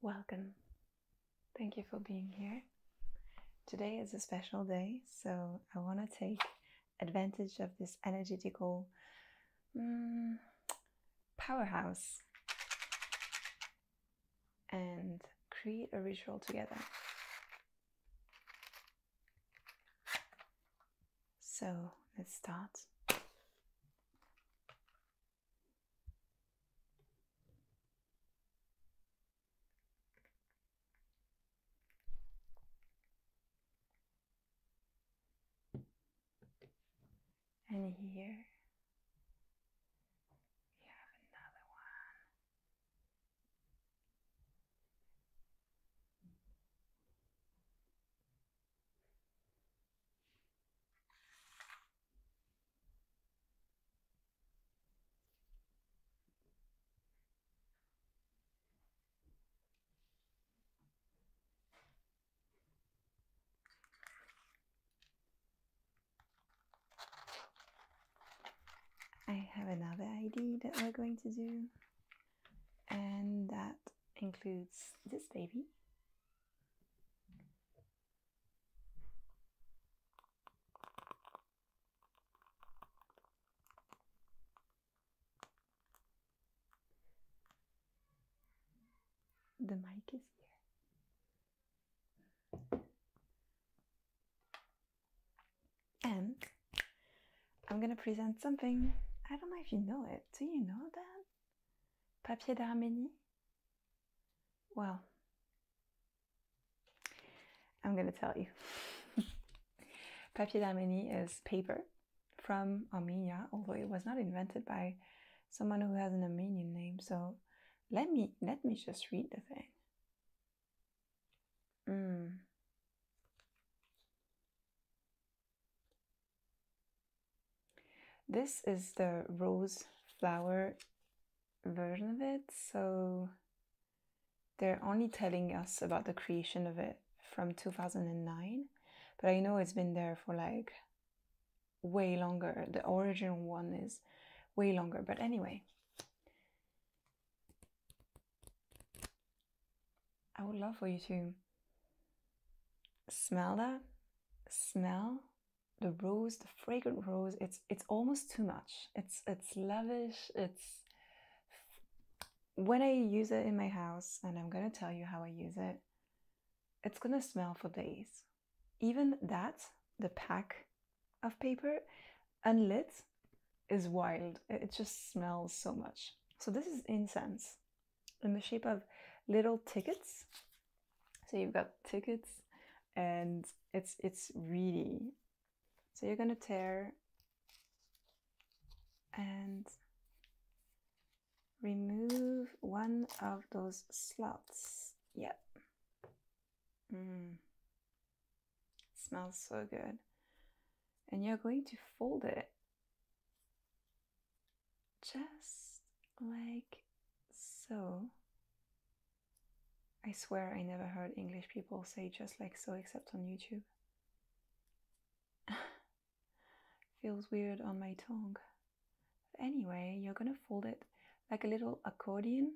Welcome. Thank you for being here. Today is a special day, so I want to take advantage of this energetical mm, powerhouse and create a ritual together. So let's start. And here we have another one. I have another ID that we're going to do, and that includes this baby the mic is here. And I'm gonna present something. I don't know if you know it. Do you know that? Papier d'Arménie well, I'm going to tell you. Papier d'Arménie is paper from Armenia, although it was not invented by someone who has an Armenian name. So let me let me just read the thing. Hmm. This is the rose flower version of it, so they're only telling us about the creation of it from 2009, but I know it's been there for like way longer. The original one is way longer, but anyway. I would love for you to smell that, smell the rose, the fragrant rose, it's it's almost too much. It's it's lavish. It's when I use it in my house, and I'm gonna tell you how I use it, it's gonna smell for days. Even that, the pack of paper, unlit, is wild. It just smells so much. So this is incense in the shape of little tickets so you've got tickets and it's it's really so you're gonna tear and remove one of those slots. Yep. Mm. Smells so good. And you're going to fold it just like so. I swear I never heard English people say just like so except on YouTube. Feels weird on my tongue. anyway, you're gonna fold it like a little accordion.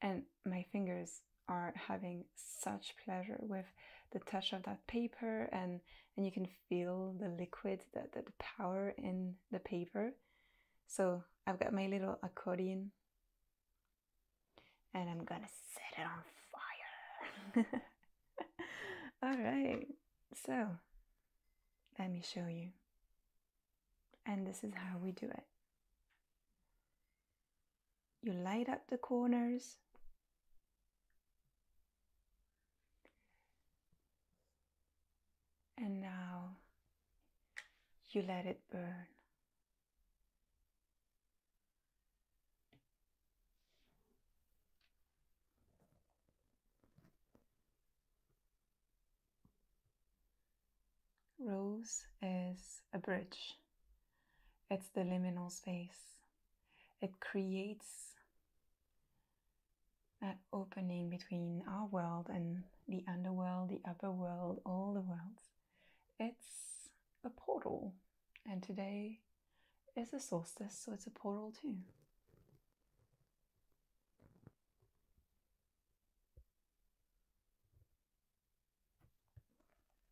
And my fingers are having such pleasure with the touch of that paper and and you can feel the liquid, that the power in the paper. So I've got my little accordion and I'm gonna set it on fire. All right, so let me show you. And this is how we do it. You light up the corners and now you let it burn. Rose is a bridge. It's the liminal space it creates that opening between our world and the underworld, the upper world, all the worlds. It's a portal, and today is a solstice, so it's a portal too.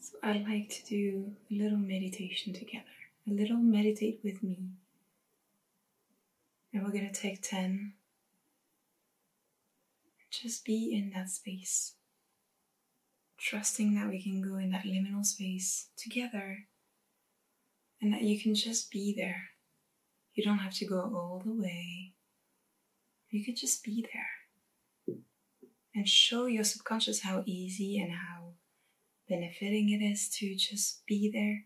So I like to do a little meditation together, a little meditate with me. And we're going to take 10. Just be in that space, trusting that we can go in that liminal space together and that you can just be there. You don't have to go all the way. You could just be there and show your subconscious how easy and how benefiting it is to just be there.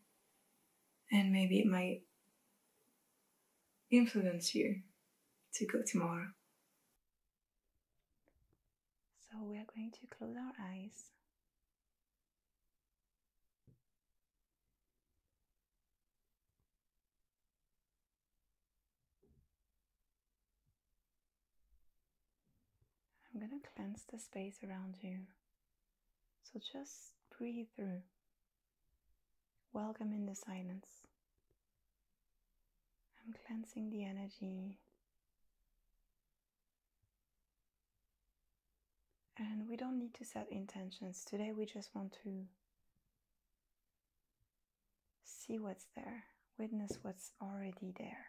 And maybe it might influence you to go tomorrow. So we are going to close our eyes I'm going to cleanse the space around you. So just breathe through. Welcome in the silence. I'm cleansing the energy and we don't need to set intentions. Today we just want to see what's there, witness what's already there.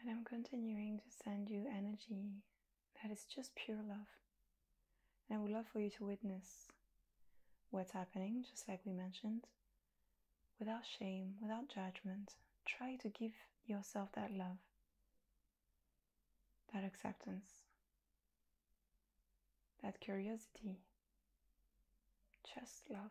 And I'm continuing to send you energy that is just pure love. And I would love for you to witness what's happening, just like we mentioned, without shame, without judgment. Try to give yourself that love, that acceptance, that curiosity, just love.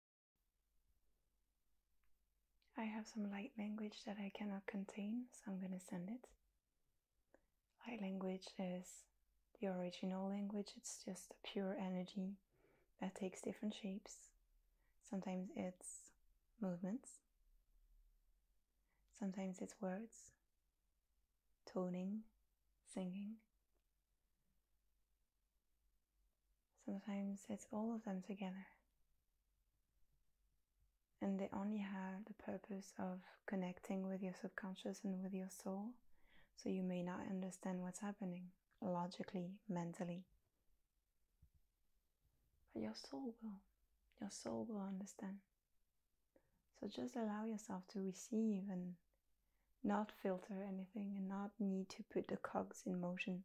I have some light language that I cannot contain, so I'm going to send it. Light language is the original language, it's just a pure energy that takes different shapes. Sometimes it's movements, sometimes it's words, toning, singing. Sometimes it's all of them together. And they only have the purpose of connecting with your subconscious and with your soul, so you may not understand what's happening logically, mentally. But your soul will. Your soul will understand. So just allow yourself to receive and not filter anything and not need to put the cogs in motion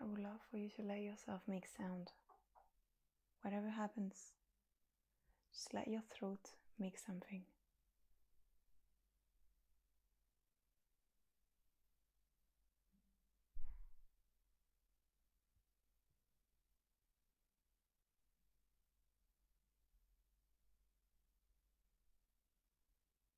I would love for you to let yourself make sound. Whatever happens, just let your throat make something.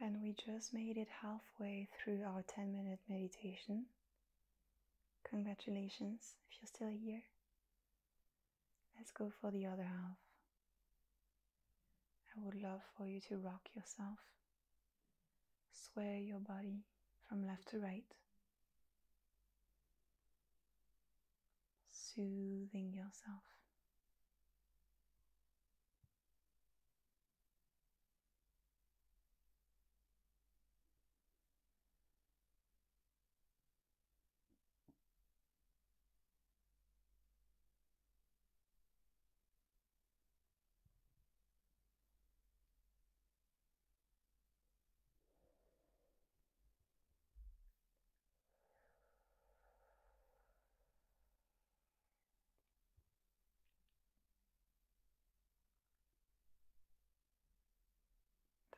And we just made it halfway through our 10 minute meditation. Congratulations if you're still here. Let's go for the other half. I would love for you to rock yourself, sway your body from left to right soothing yourself.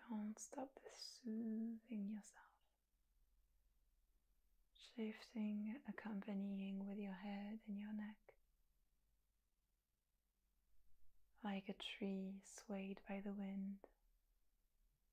Don't stop soothing yourself. Shifting, accompanying with your head and your neck. Like a tree swayed by the wind,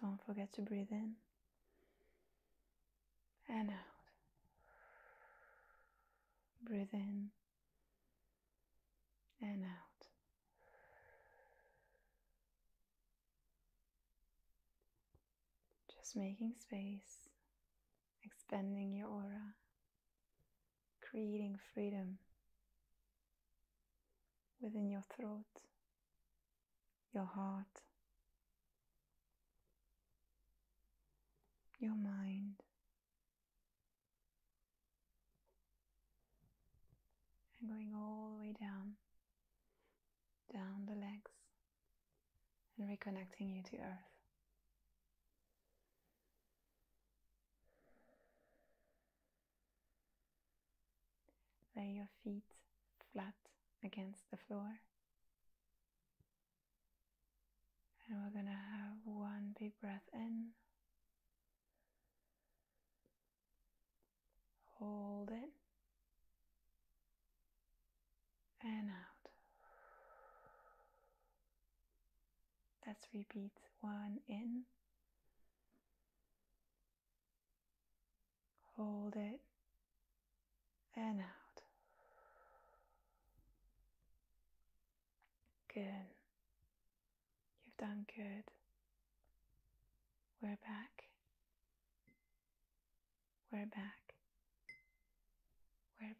Don't forget to breathe in and out. Breathe in and out. Just making space, expanding your aura, creating freedom within your throat, your heart, your mind, and going all the way down, down the legs, and reconnecting you to earth. Lay your feet flat against the floor and we're going to have one big breath in. Hold it. And out. Let's repeat one in. Hold it and out. Good. You've done good. We're back. We're back. We're back.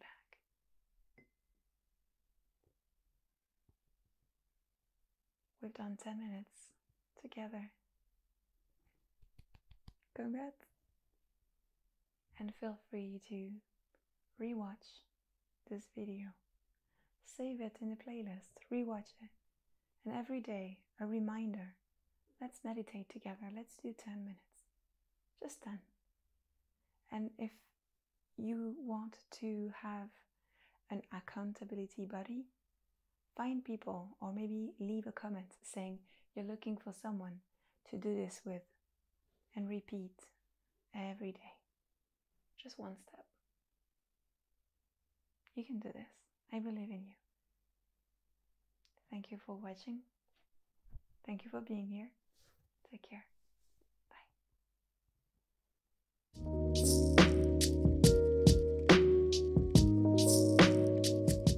We've done 10 minutes together. Congrats! and feel free to rewatch this video. Save it in the playlist, rewatch it, and every day a reminder let's meditate together, let's do 10 minutes, just 10. And if you want to have an accountability buddy, find people or maybe leave a comment saying you're looking for someone to do this with and repeat every day. Just one step. You can do this. I believe in you. Thank you for watching. Thank you for being here. Take care. Bye.